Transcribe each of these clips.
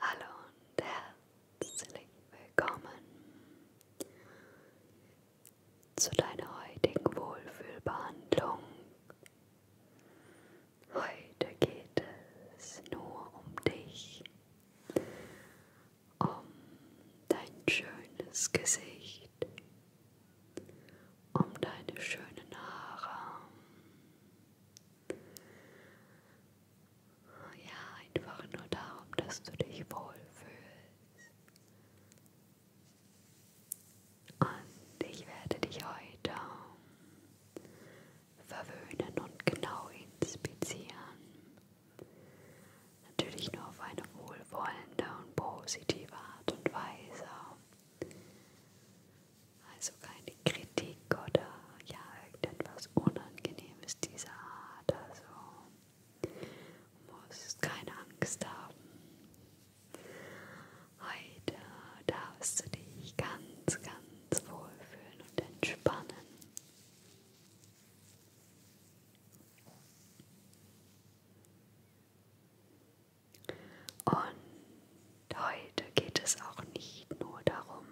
Hallo und herzlich willkommen zu deiner heutigen Wohlfühlbehandlung. Heute geht es nur um dich, um dein schönes Gesicht, um deine schönen Haare. Ja, einfach nur darum, dass du dich wohlfühlst. Und ich werde dich heute verwöhnen und genau inspizieren. Natürlich nur auf eine wohlwollende und positive Art und Weise. Also keine Kritik oder ja, irgendetwas Unangenehmes dieser Art. Also musst keine Angst haben. Heute darfst du dich ganz, ganz wohlfühlen und entspannen. Und heute geht es auch nicht nur darum,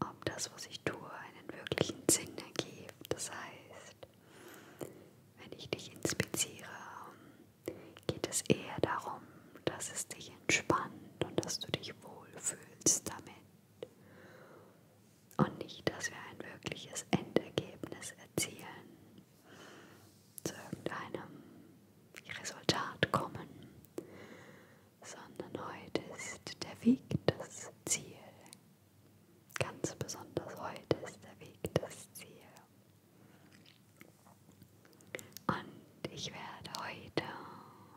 ob das, was ich tue, einen wirklichen Sinn ergibt. Das heißt, wenn ich dich inspiziere, geht es eher darum, dass es dich entspannt und dass du dich wohlfühlst damit. Und nicht, dass wir ein wirkliches Endergebnis erzielen zu irgendeinem Resultat kommen, sondern heute ist der Weg das Ziel. Ganz besonders heute ist der Weg das Ziel. Und ich werde heute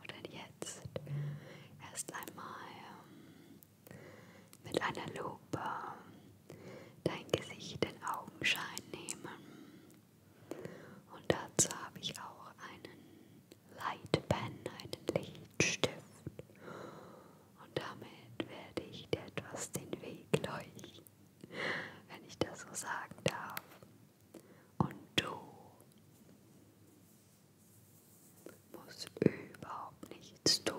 oder jetzt erst einmal ähm, mit einer Lupe dein Gesicht in Augenschein nehmen. Und dazu habe ich auch einen Lightpen, einen Lichtstift. Und damit werde ich dir etwas den Weg leuchten, wenn ich das so sagen darf. Und du musst überhaupt nichts tun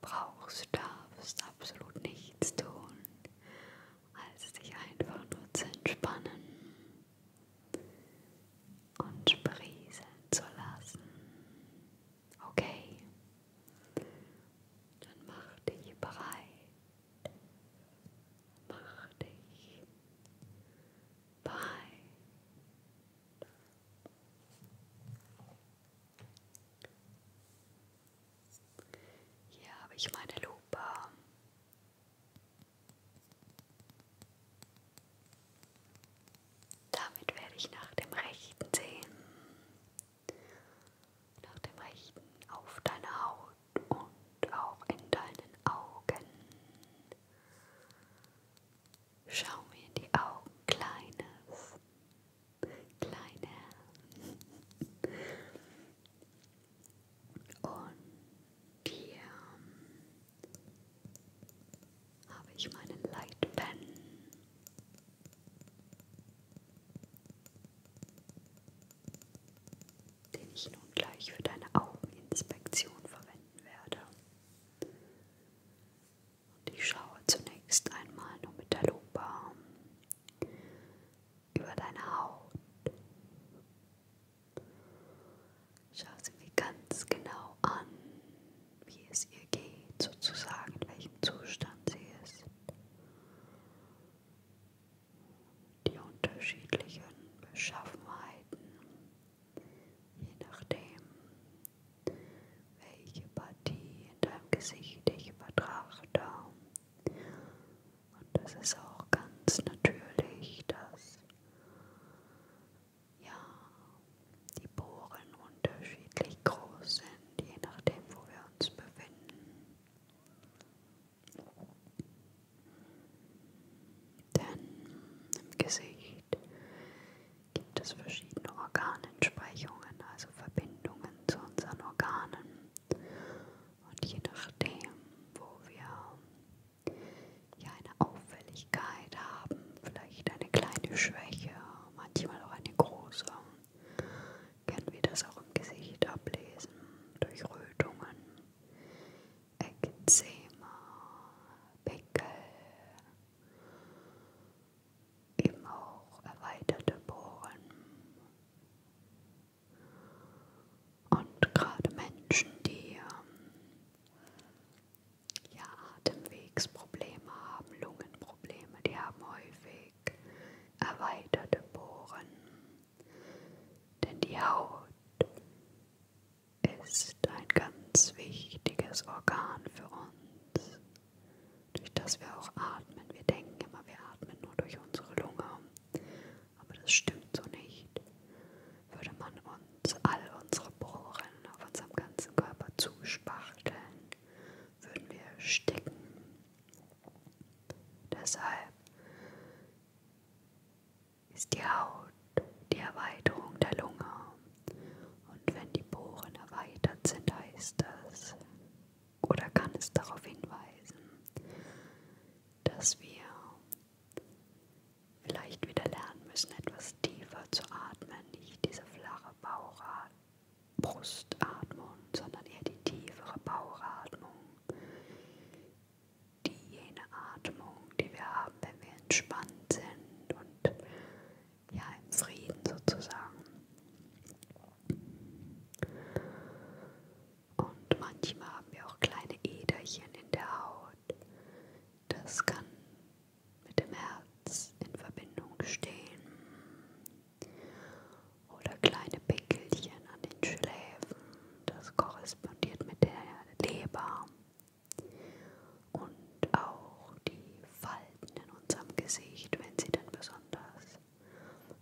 brauchst, darfst absolut nichts tun, als dich einfach nur zu entspannen und sprieseln zu lassen. Okay? Dann mach dich bereit. Mach dich bereit. Hier habe ich meine Lupe. Damit werde ich nach dem rechten sehen. Nach dem rechten auf deine Haut und auch in deinen Augen. Schau mir in die Augen, Kleines. Kleiner. Und hier habe ich meinen Light Pen. Den ich nun gleich für deine Augeninspektion verwenden werde. Und ich schaue zunächst einmal nur mit der Lupe über deine Haut. Schau sie mir ganz genau an, wie es ihr geht, sozusagen, in welchem Zustand sie ist. Die unterschiedlichen Beschaffenheiten je nachdem, welche Partie in deinem Gesicht ich betrachte. Und das ist auch ganz natürlich, dass ja, die Bohren unterschiedlich groß sind, je nachdem, wo wir uns befinden. Denn im Gesicht gibt es verschiedene Organentsprechungen, also Verbindungen zu unseren Organen. Und je nachdem, wo wir ja eine Auffälligkeit haben, vielleicht eine kleine Schwäche, manchmal auch eine große, können wir das auch im Gesicht ablesen durch Rötungen, Ekzema, Pickel, eben auch erweiterte Poren. Und gerade Menschen, die ähm, ja, Atemwegsprobleme haben, Lungenprobleme, die haben häufig erweiterte Poren. Denn die Haut ist ein ganz wichtiges Organ für uns, durch das wir auch atmen. Wir denken immer, wir atmen nur durch unsere Lunge, aber das stimmt so nicht. Würde man uns all unsere Poren auf unserem ganzen Körper zuspachteln, würden wir sticken. Deshalb ist die Haut die Erweiterung der Lunge. Und wenn die Poren erweitert sind, heißt das oder kann es darauf hinweisen, dass wir vielleicht wieder lernen müssen, etwas tiefer zu atmen, nicht diese flache Bauchatmung. Brustatmung, sondern eher die tiefere Bauchatmung. Die jene Atmung, die wir haben, wenn wir entspannt sind und ja, im Frieden sozusagen. Und manchmal haben wir auch kleine Äderchen in der Haut. Das kann mit dem Herz in Verbindung stehen. Oder kleine Pickelchen an den Schläfen. Das korrespondiert mit der Leber. Und auch die Falten in unserem Gesicht, wenn sie denn besonders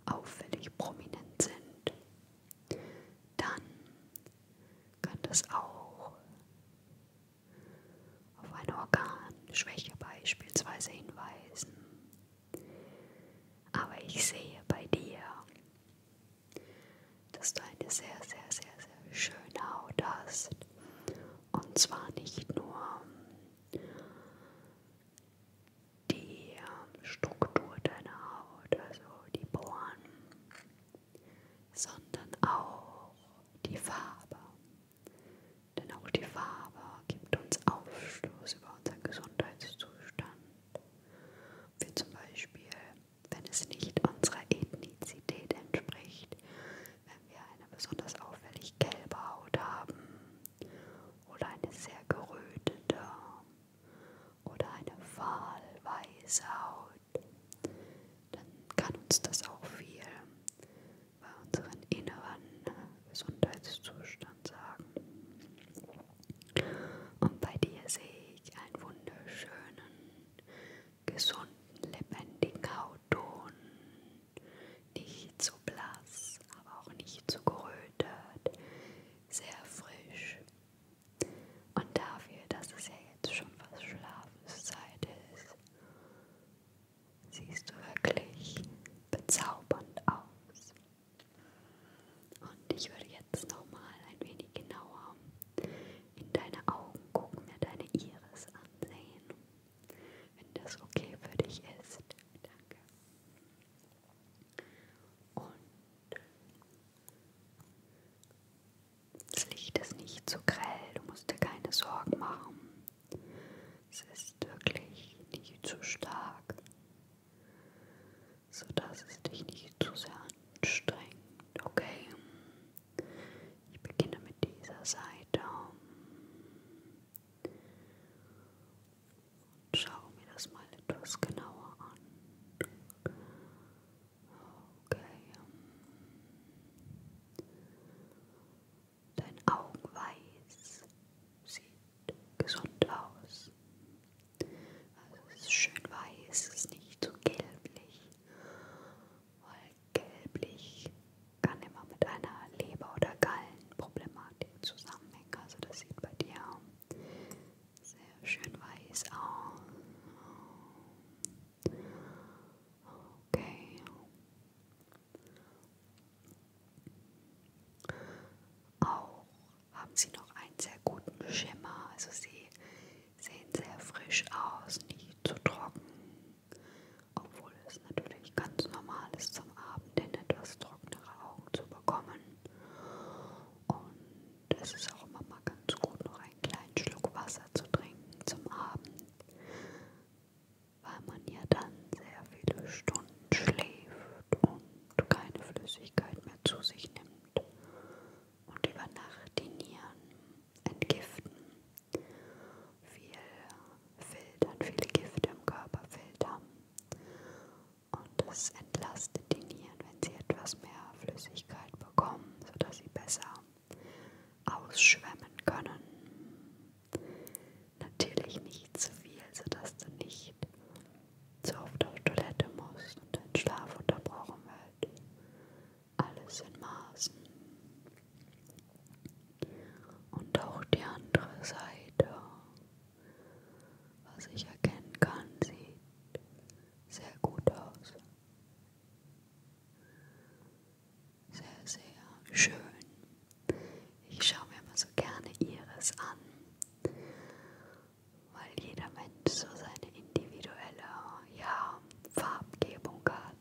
auffällig prominent sind, dann kann das auch auf eine Organschwäche beispielsweise hinweisen. Aber ich sehe bei dir, dass du eine sehr, sehr, sehr, sehr schöne Haut hast und zwar nicht nur die ähm, Struktur deiner Haut, also die Poren, sondern auch die Farbe. Denn auch die Farbe gibt uns Aufschluss über unseren Gesundheitszustand. Wie zum Beispiel, wenn es nicht unserer Ethnizität entspricht, wenn wir eine besonders auffällig gelbe Haut haben oder eine sehr gerötete oder eine fahlweiße Haut, dann kann uns das auch viel bei unserem inneren Gesundheitszustand sagen. Und bei dir sehe ich einen wunderschönen, gesunden, lebendigen Hautton. Nicht zu blass, aber auch nicht zu gerötet. Sehr frisch. Und dafür, dass es ja jetzt schon fast Schlafenszeit ist, siehst du wirklich bezaubernd aus. Und ich würde jetzt nochmal ein wenig genauer in deine Augen gucken mir deine Iris ansehen. Wenn das okay für dich ist. Danke. Und das Licht ist nicht zu so grell, du musst dir keine Sorgen machen. Es ist wirklich nicht zu stark, sodass es dich nicht zu sehr anstrengt, okay? Ich beginne mit dieser Seite und schaue mir das mal etwas genauer an. Okay. Dein Augenweiß sieht gesund aus. Also es ist schön weiß, es ist nicht so gelblich, weil gelblich kann immer mit einer Leber- oder Gallenproblematik zusammenhängen. Also das sieht bei dir sehr schön weiß aus. Okay. Auch haben sie noch einen sehr guten Schimmer. Also sie sehen sehr frisch aus, nicht zu trocken, obwohl es natürlich ganz normal ist, zum Abend hin etwas trockenere Augen zu bekommen. Und es ist auch immer mal ganz gut, noch einen kleinen Schluck Wasser zu trinken zum Abend, weil man ja dann sehr viele Stunden schläft und keine Flüssigkeit mehr zu sich nimmt und über Nacht die Nieren entgiften. Viel filtern, viele Gifte im Körper filtern. Und es entlastet die Nieren, wenn sie etwas mehr Flüssigkeit bekommen, sodass sie besser ausschwemmen können. Natürlich nicht zu viel, sodass du nicht zu oft auf Toilette musst und dein Schlaf unterbrochen wird alles in Maßen. Und auch die andere Seite, was ich erkennen kann, sieht sehr gut aus. Sehr, sehr schön. Ich schaue mir immer so gerne ihres an, weil jeder Mensch so seine individuelle, ja, Farbgebung hat.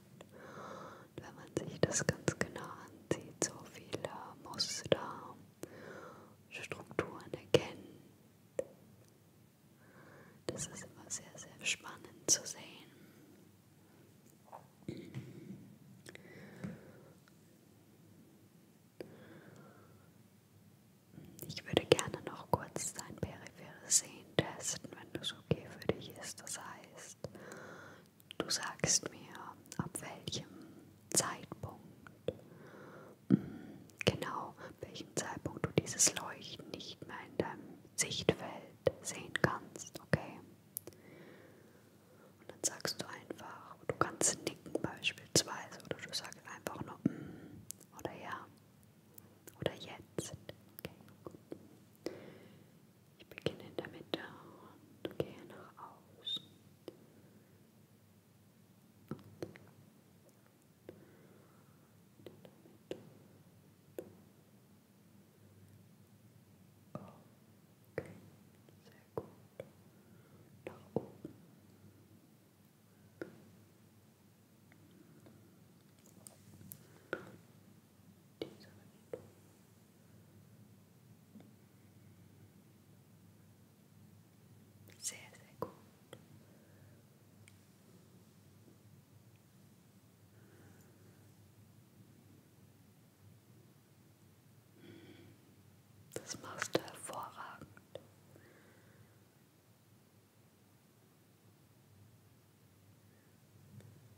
Und wenn man sich das ganz genau ansieht, so viele Muster, Strukturen erkennt. Das ist immer sehr, sehr spannend zu sehen. Ich würde gerne noch kurz dein Perianum wir sehen testen, wenn das okay für dich ist. Das heißt, du sagst mir, ab welchem Zeitpunkt, mm, genau, welchem Zeitpunkt du dieses Leuchten nicht mehr in deinem Sichtfeld sehen kannst, okay? Und dann sagst du einfach, du kannst nicken beispielsweise, oder du sagst einfach nur mm, oder ja, oder jetzt. Okay. Ich beginne in der Mitte und gehe nach außen. Okay, sehr gut. Nach oben. Diese Richtung. Sehr, sehr gut. Das machst du hervorragend.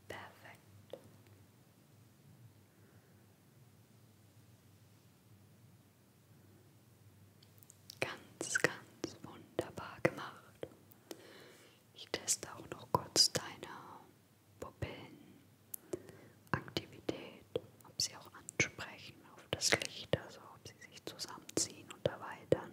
Perfekt. Ganz, ganz wunderbar gemacht. Ich teste auch noch kurz deine Pupillenaktivität, ob sie auch ansprechen auf das Licht, also ob sie sich zusammenziehen und erweitern.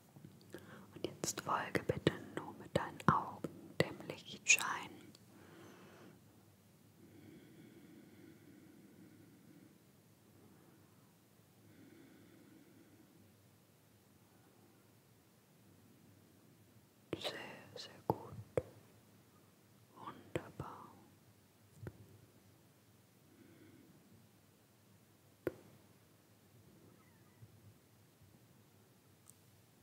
Und jetzt folge bitte nur mit deinen Augen dem Lichtschein. Sehr, sehr gut. Wunderbar.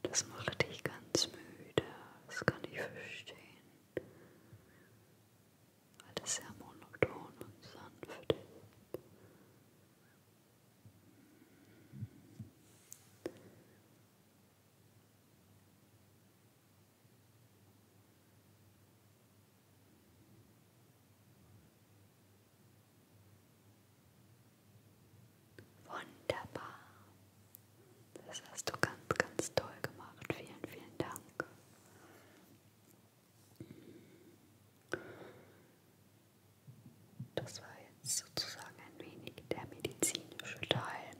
Das macht dich ganz müde, das kann ich verstehen. Weil es sehr monoton und sanft ist. Wunderbar. Das hast du ganz, ganz toll gemacht. Vielen, vielen Dank. Das war jetzt sozusagen ein wenig der medizinische Teil.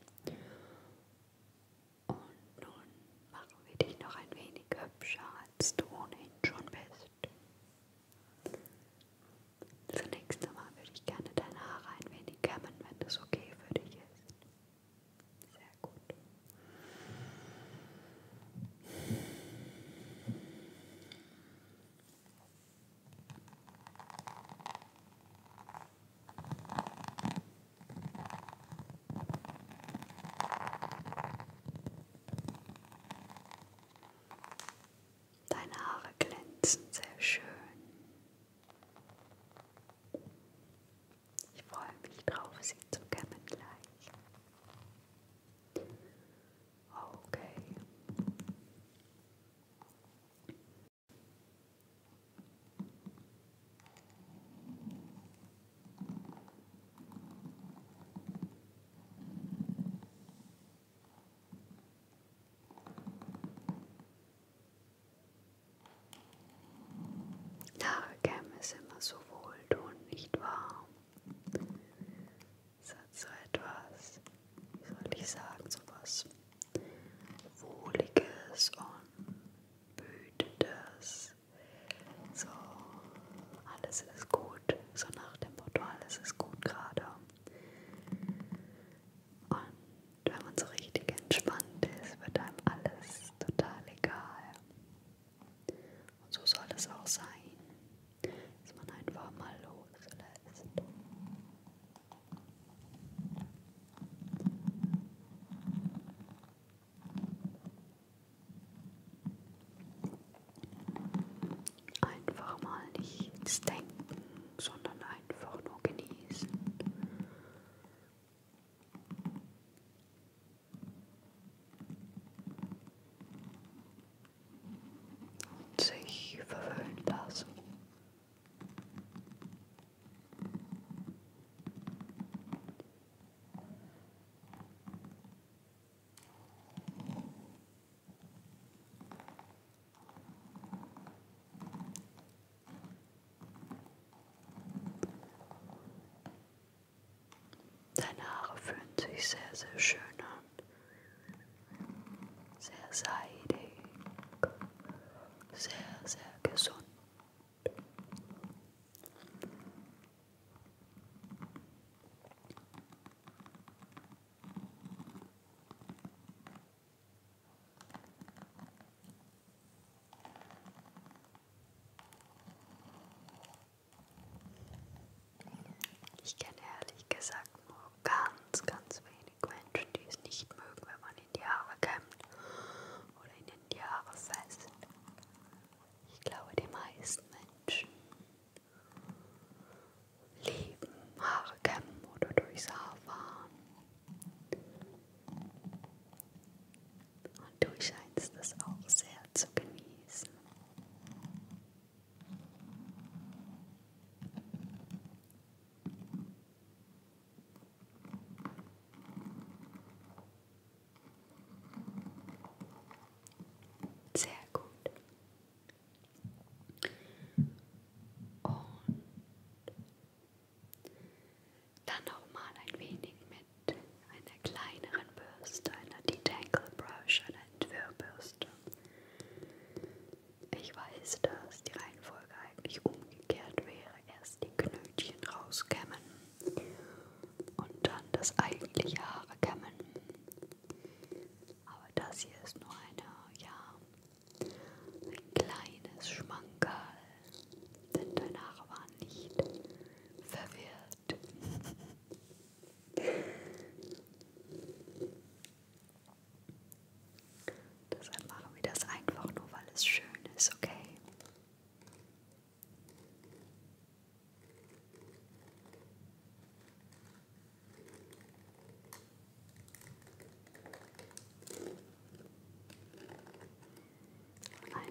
Und nun machen wir dich noch ein wenig hübscher, als du ohnehin schon bist. Das nächste Mal würde ich gerne deine Haare ein wenig kämmen, wenn das okay für dich ist. Sehr gut. Deine Haare glänzen sehr schön. Ich freue mich drauf, sie zu kämmen gleich. Okay. Haare kämen ist immer so wohltuend, nicht wahr? Es hat so etwas, wie soll ich sagen, so was Wohliges und Behütetes. So, alles ist gut. So nach dem Motto, alles ist gut gerade. Und wenn man so richtig entspannt ist, wird einem alles total egal. Und so soll es auch sein, dass man einfach mal loslässt. Einfach mal nichts denken, sondern einfach nur genießen. Und sich verwöhnen lassen. Deine Haare fühlen sich sehr, sehr schön an. Sehr seidig. Sehr, sehr gesund. Ich kenne ehrlich gesagt nur ganz, ganz wenig Menschen, die es nicht mögen, wenn man in die Haare kämmt oder ihnen die Haare fest. Ich glaube, die meisten Menschen lieben Haare kämmen oder durchs Haar fahren. Und du scheinst das auch sehr zu genießen. Sehr gut. Und dann nochmal ein wenig mit einer kleineren Bürste, einer Detangle Brush, einer Entwirrbürste. Ich weiß, dass die Reihenfolge eigentlich umgekehrt wäre. Erst die Knötchen rauskämmen und dann das eigentliche Haare kämmen. Aber das hier ist nur eine, ja, ein kleines Schmankerl. Denn deine Haare waren nicht verwirrt. Deshalb machen wir das einfach nur, weil es schön ist, okay?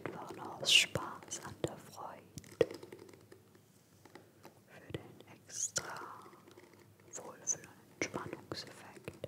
Einfach nur aus Spaß an der Freude für den extra Wohlfühl- und Entspannungseffekt.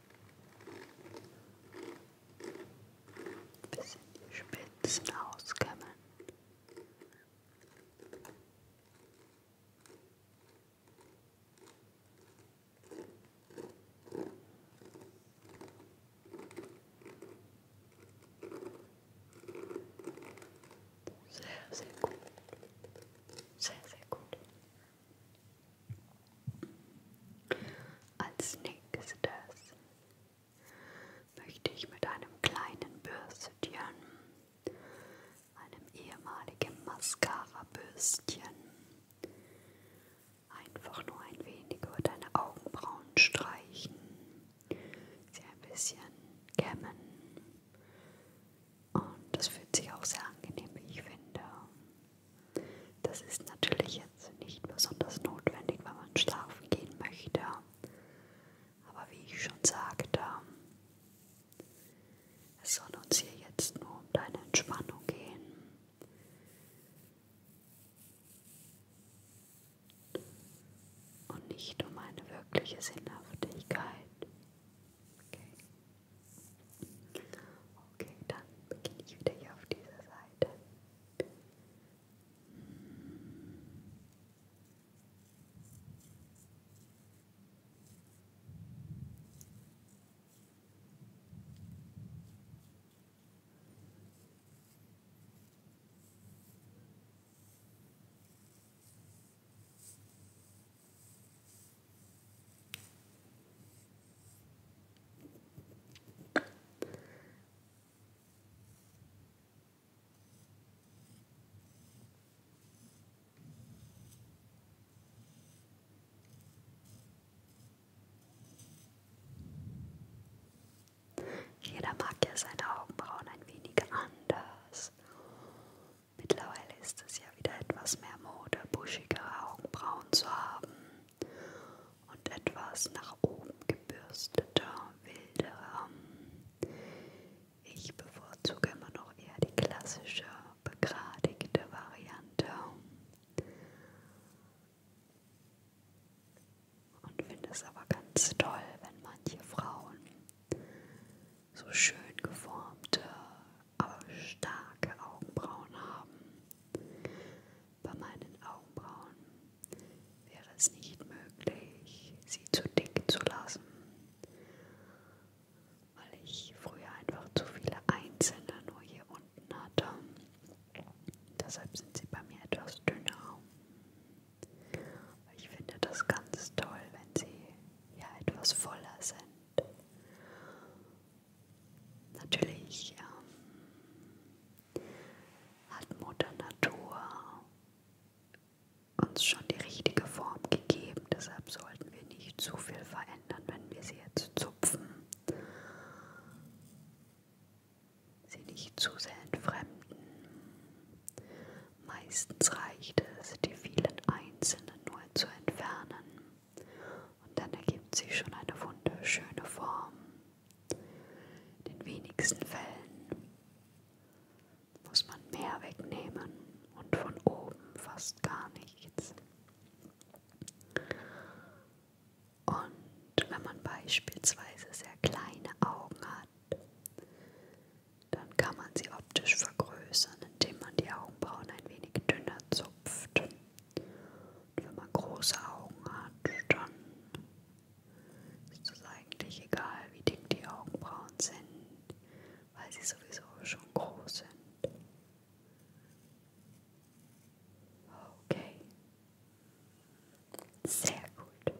Ein bisschen die Spitzen auskämmen. Sehr, sehr gut. Sehr, sehr gut. Als nächstes möchte ich mit einem kleinen Bürstchen, einem ehemaligen Mascara-Bürstchen, einfach nur ein wenig über deine Augenbrauen streichen, sie ein bisschen kämmen, und das fühlt sich auch sehr angenehm, wie ich finde. Das ist natürlich jetzt nicht besonders notwendig, wenn man schlafen gehen möchte. Aber wie ich schon sagte, es soll uns hier jetzt nur um deine Entspannung gehen. Und nicht um eine wirkliche Sinnhaftigkeit. Okay. Okay, dann beginne ich wieder hier auf dieser Seite. Okay. Jeder mag ja seine Augenbrauen ein wenig anders. Mittlerweile ist es ja wieder etwas mehr Mode, buschigere Augenbrauen zu haben und etwas nach oben gebürstete, wildere. Ich bevorzuge immer noch eher die klassische, begradigte Variante und finde es aber ganz toll, wenn manche Frauen so schön geformte, aber starke Augenbrauen haben. Bei meinen Augenbrauen wäre es nicht möglich, sie zu dick zu lassen, weil ich früher einfach zu viele einzelne nur hier unten hatte. Deshalb sind sie bei mir etwas dünner. Ich finde das ganz toll, wenn sie ja etwas voller sind. Natürlich ähm, hat Mutter Natur uns schon die richtige Form gegeben, deshalb sollten wir nicht zu viel verändern, wenn wir sie jetzt zupfen. Sie nicht zu sehr entfremden. Meistens reicht es, die vielen Einzelnen nur zu entfernen. Und dann ergibt sich schon eine wunderschöne Form. In den wenigsten Fällen muss man mehr wegnehmen und von oben fast gar nichts. Und wenn man beispielsweise sehr kleine Augen hat, dann kann man sie optisch vergrößern, indem man die Augenbrauen ein wenig dünner zupft. Und wenn man große Augen hat, dann ist es eigentlich egal, wie dick die Augenbrauen sind, weil sie sowieso schon groß sind. Okay. Sehr gut.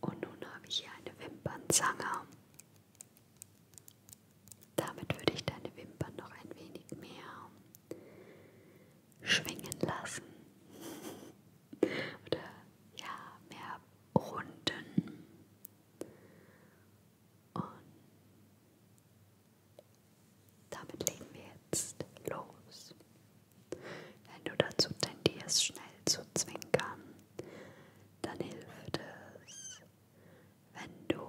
Und nun habe ich hier eine Wimpernzange. Damit würde ich deine Wimpern noch ein wenig mehr schwingen lassen. Oder ja, mehr runden. Und damit legen wir jetzt los. Wenn du dazu tendierst, schnell zu zwinkern, dann hilft es, wenn du,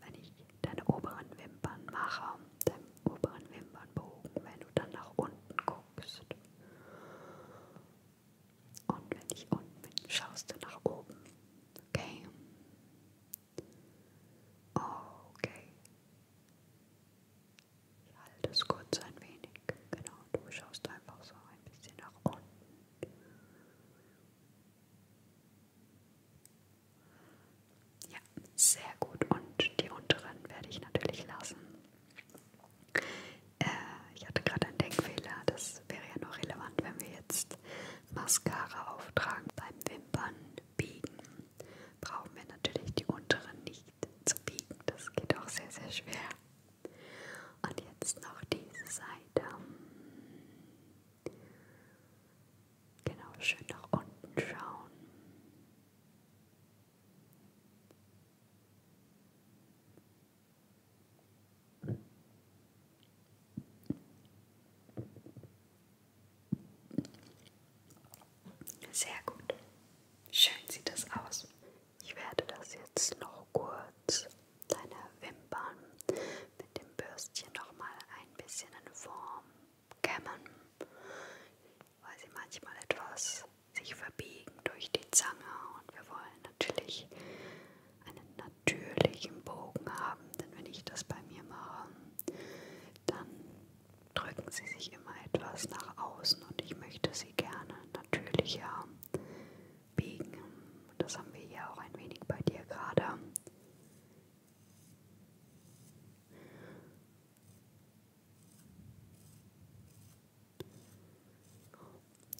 wenn ich deine oberen Wimpern mache, deinen oberen Wimpernbogen, wenn du dann nach unten guckst. Und wenn ich unten bin, schaust du nach oben. Okay. Okay. Halt es kurz ein wenig. Genau, du schaust einfach so ein bisschen nach unten. Ja, sehr gut. Und die unteren werde ich natürlich lassen. Äh, ich hatte gerade einen Denkfehler. Das wäre ja noch relevant, wenn wir jetzt Mascara auftragen beim Wimpern biegen brauchen wir natürlich die unteren nicht zu biegen. Das geht auch sehr, sehr schwer. Und jetzt noch diese Seite. Genau, schön nach unten schauen. Sehr gut. Schön sieht das aus. Ich werde das jetzt noch kurz deine Wimpern mit dem Bürstchen nochmal ein bisschen in Form kämmen, weil sie manchmal etwas sich verbiegen durch die Zange und wir wollen natürlich einen natürlichen Bogen haben, denn wenn ich das bei mir mache, dann drücken sie sich immer etwas nach außen und ich möchte sie gerne natürlicher biegen. Das haben wir ja auch ein wenig bei dir gerade.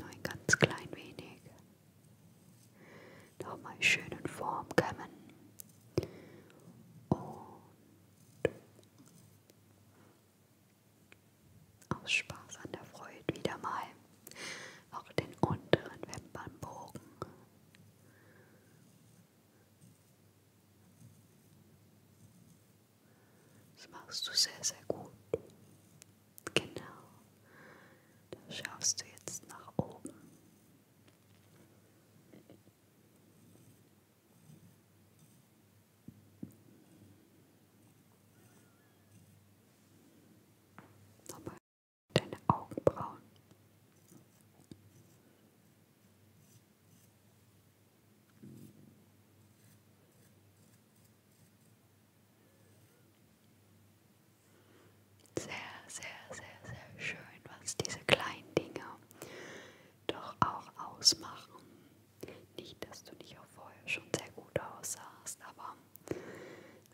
Nur ein ganz klein wenig. Nochmal schön in Form kämmen. Und aus Spaß an der Freude wieder mal auch den unteren Wimpernbogen. Das machst du sehr, sehr gut. Genau. Da schaust du jetzt nach oben. Nochmal deine Augenbrauen. Sehr, sehr, sehr, sehr schön, was diese kleinen Dinge doch auch ausmachen. Nicht, dass du nicht auch vorher schon sehr gut aussahst, aber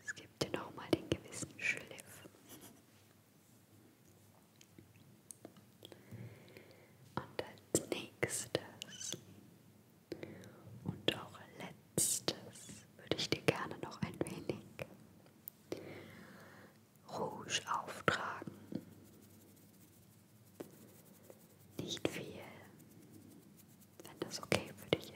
es gibt dir nochmal den gewissen Schliff. Und als nächstes und auch letztes würde ich dir gerne noch ein wenig Rouge auftragen. Nicht viel, wenn das okay für dich ist.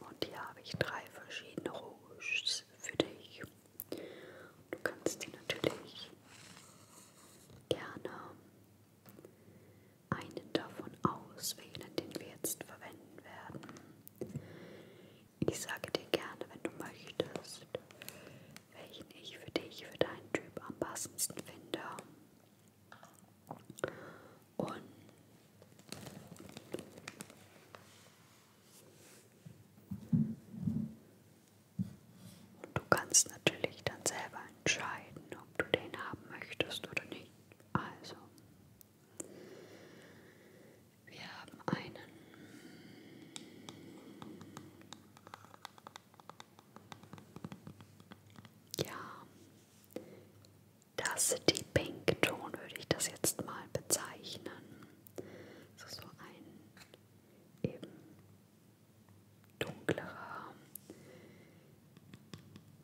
Und hier habe ich drei verschiedene Rouges für dich. Du kannst dir natürlich gerne einen davon auswählen, den wir jetzt verwenden werden. Ich sage dir gerne, wenn du möchtest, welchen ich für dich, für deinen Typ am passendsten finde. Und und du kannst natürlich dann selber entscheiden, ob du den haben möchtest oder nicht. Also, wir haben einen ja, das die Pink Ton würde ich das jetzt mal bezeichnen. So, so ein eben dunklerer,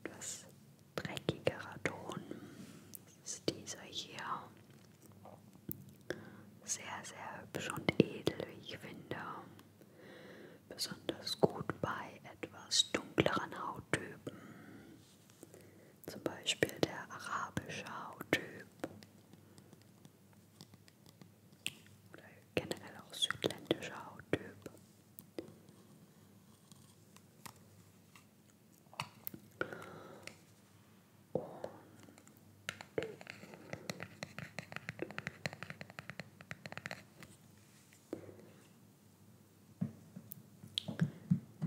etwas dreckigerer Ton. Das ist dieser hier. Sehr, sehr hübsch und edel, wie ich finde. Besonders gut bei etwas dunkleren Hauttypen. Zum Beispiel der arabische Hauttyp. Oder generell auch südländischer Hauttyp. Und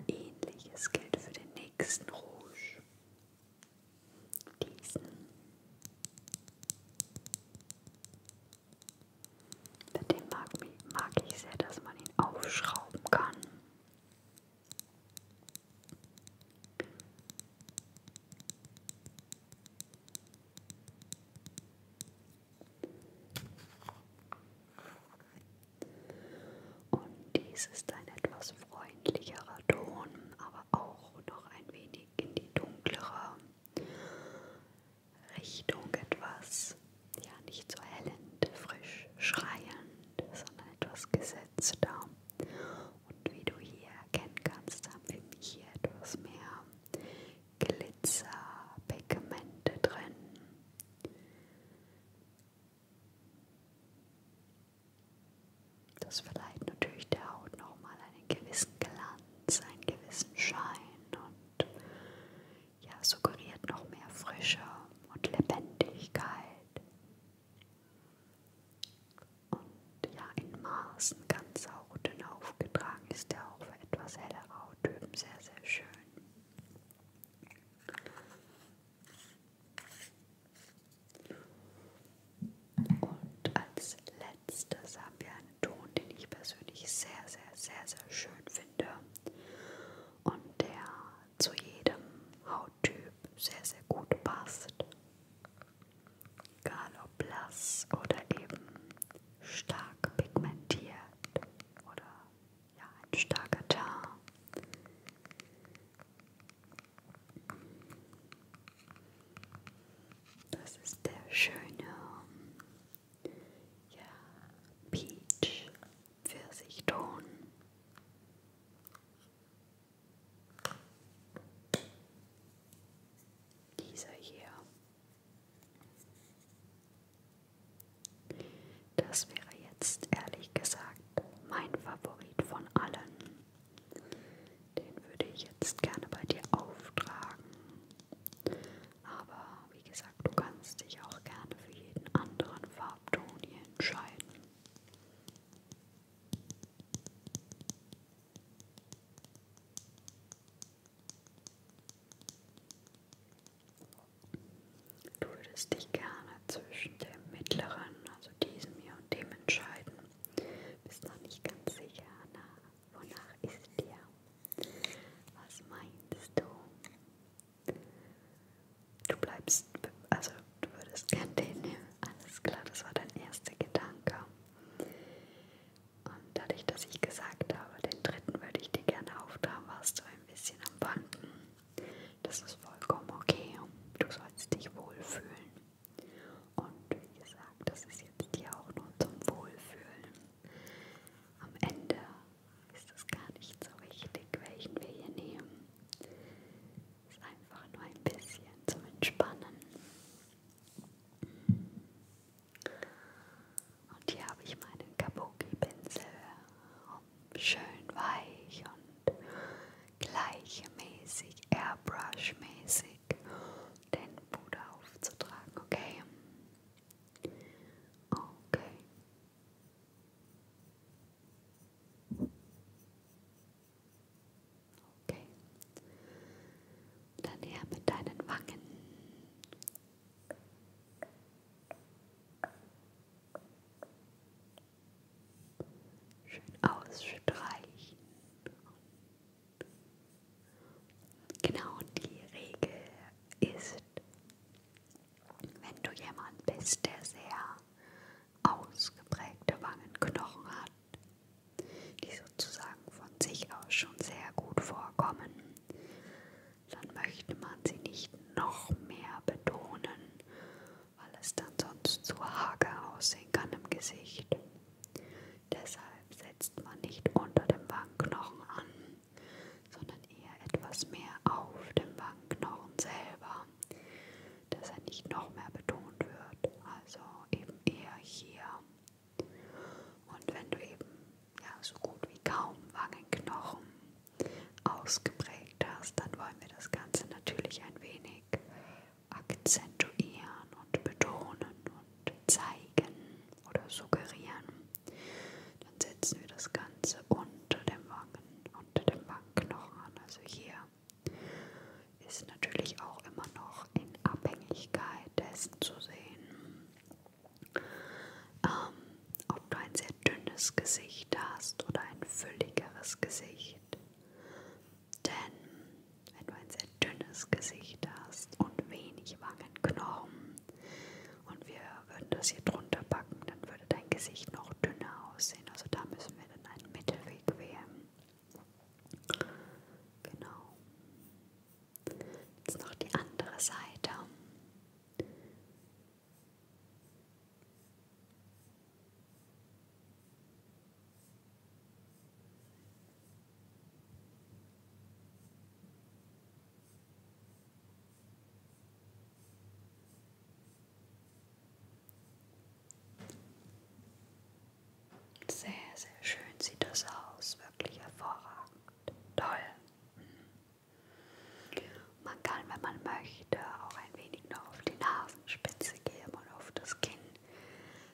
ähnliches gilt für den nächsten Rouge. Diesen mit dem mag, mag ich sehr, dass man ihn aufschrauben kann. Und dies ist ein etwas freundlicherer Ton, aber auch noch ein wenig in die dunklere Richtung etwas, ja nicht so hellend, frisch schreiend, sondern etwas gesetzter und wie du hier erkennen kannst, haben wir hier etwas mehr Glitzerpigmente drin. Das verleiht natürlich der Haut nochmal einen gewissen Glanz, einen gewissen Schein und ja, suggeriert noch mehr Frische und Lebendigkeit. Und ja, in Maßen ganz saudünn aufgetragen ist er auch für etwas hellere Hauttypen sehr, sehr schön. Und als letztes haben wir einen Ton, den ich persönlich sehr, sehr, sehr, sehr schön finde. Und der zu jedem Hauttyp sehr, sehr gut passt. Egal ob blass oder eben stark pigmentiert oder ja, ein starker Tar. Das ist der schöne ja, Peach Pfirsichton. Dieser hier. Das wäre jetzt ehrlich gesagt mein Favorit von allen. Den würde ich jetzt gerne bei dir auftragen. Aber wie gesagt, du kannst dich auch gerne für jeden anderen Farbton hier entscheiden. Du würdest dich gerne zwischen dem mittleren, also diesem hier und dem entscheiden. Bist noch nicht ganz sicher, na, wonach ist dir? Was meinst du? Du bleibst, also du würdest gern den nehmen. Alles klar, das war dein erster Gedanke. Und dadurch, dass ich gesagt habe, den dritten würde ich dir gerne auftragen, warst du ein bisschen am Wanken. Das ist vollkommen okay. Du sollst dich wohlfühlen. Und wie gesagt, das ist jetzt dir auch nur zum Wohlfühlen. Am Ende ist es gar nicht so wichtig, welchen wir hier nehmen. Ist einfach nur ein bisschen zum Entspannen. Und hier habe ich meinen Kabuki-Pinsel, um schön weich und gleichmäßig, airbrush-mäßig den Puder aufzutragen, okay? Okay. Okay. Dann her mit deinen Wangen. Schön ausstreichen. Genau, die Regel ist, wenn du jemand bist, der sehr ausgeprägte Wangenknochen hat, die sozusagen von sich aus schon sehr gut vorkommen, dann möchte man sie nicht noch mehr betonen, weil es dann sonst zu hager aussehen kann im Gesicht. Deshalb setzt man nicht unter dem Wangenknochen an, sondern eher etwas mehr auf dem Wangenknochen selber, dass er nicht noch mehr betont wird. Also eben eher hier. Und wenn du eben ja, so gut wie kaum Wangenknochen ausgeprägt hast, dann wollen wir das Ganze natürlich ein wenig akzentuieren und betonen und zeigen oder suggerieren. Dann setzen wir das Ganze unter dem Wangen, unter dem Wangenknochen an, also hier ist natürlich auch immer noch in Abhängigkeit dessen zu sehen, ähm, ob du ein sehr dünnes Gesicht hast oder ein fülligeres Gesicht. Denn wenn du ein sehr dünnes Gesicht hast und wenig Wangenknochen, und wir würden das hier drunter packen, dann würde dein Gesicht noch dünner aussehen. Also da müssen wir dann einen Mittelweg wählen. Genau. Jetzt noch die andere Seite. Sehr, sehr schön sieht das aus. Wirklich hervorragend. Toll. Mhm. Man kann, wenn man möchte, auch ein wenig noch auf die Nasenspitze geben und auf das Kinn,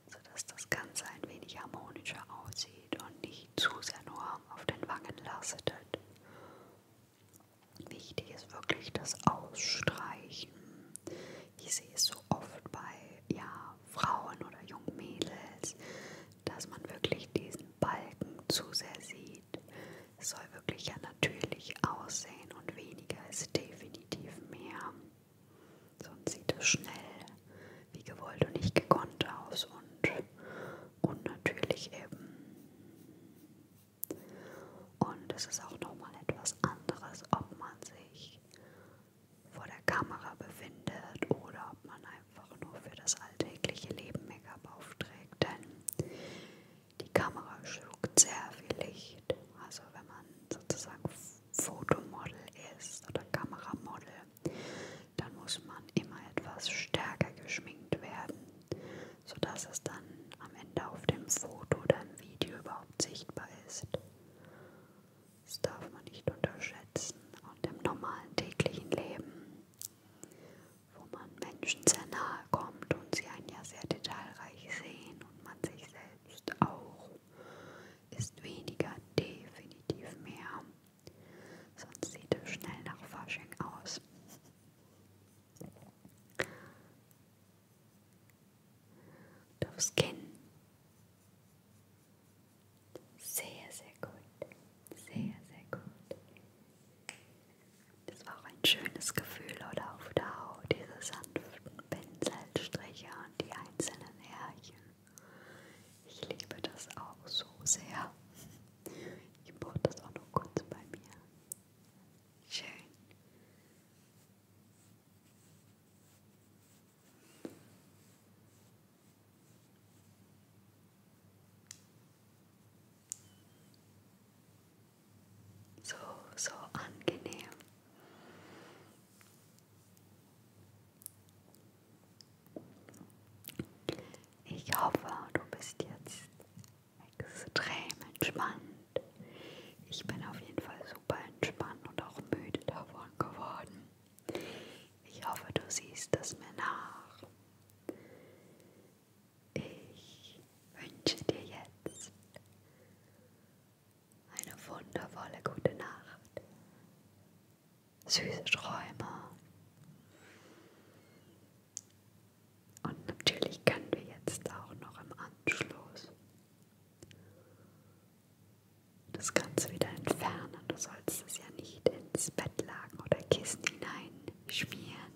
sodass das Ganze ein wenig harmonischer aussieht und nicht zu sehr nur auf den Wangen lastet. Wichtig ist wirklich das Ausstreichen. Ich sehe es so oft bei ja, Frauen oder jungen Mädels, dass man wirklich diesen Balken zu sehr sieht. Es soll wirklich ja natürlich aussehen und weniger ist definitiv mehr. Sonst sieht es schnell wie gewollt und nicht gekonnt aus und unnatürlich eben. Und es ist auch nochmal etwas anderes, ob man sich vor der Kamera befindet oder ob man einfach nur für das alltägliche Leben Make-up aufträgt. Denn die Kamera schluckt sehr viel Licht. Also wenn man sozusagen Fotomodel ist oder Kameramodel, dann muss man immer etwas stärker geschminkt werden, sodass es dann am Ende auf dem Foto oder im Video überhaupt sichtbar ist. Das darf man nicht unterschätzen. Und im normalen täglichen Leben, wo man Menschen sehr nahe kommt und sie einen ja sehr detailreich sehen und man sich selbst auch, ist weniger definitiv mehr. Sonst sieht es schnell nach Fasching aus und aufs Kinn. Sehr, sehr gut. Sehr, sehr gut. Das war auch ein schönes Gefühl, oder auf der Haut, diese sanften Pinselstriche und die einzelnen Härchen. Ich liebe das auch so sehr. Ich brauche das auch nur kurz bei mir. Schön. So, so angenehm. Ich hoffe, du bist jetzt extrem entspannt. Ich bin auf jeden Fall super entspannt und auch müde davon geworden. Ich hoffe, du siehst das mir nach. Ich wünsche dir jetzt eine wundervolle gute Nacht, süße Träume und natürlich können wir jetzt auch noch im Anschluss das Ganze wieder entfernen. Du sollst es ja nicht ins Bettlaken oder Kissen hineinschmieren.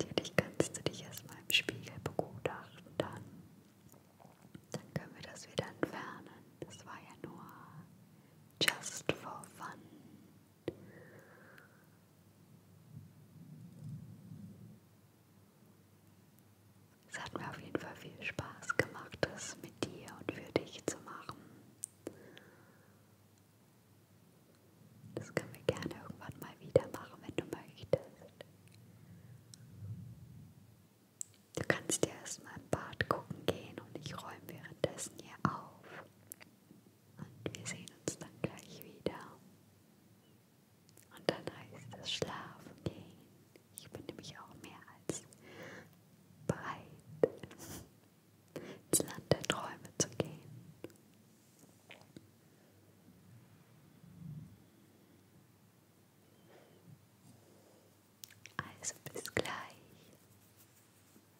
Natürlich kannst du dich erstmal im Spiegel begutachten, dann, dann können wir das wieder entfernen. Das war ja nur just for fun. Es hat mir auf jeden Fall viel Spaß gemacht, das mit dir und für dich zu machen. Das können wir gerne irgendwann mal wieder machen, wenn du möchtest. Du kannst dir erstmal im Bad gucken gehen und ich räume währenddessen hier auf. Und wir sehen uns dann gleich wieder. Und dann heißt es schlafen gehen. Ich bin nämlich auch mehr als bereit, ins Land der Träume zu gehen. Also bis gleich.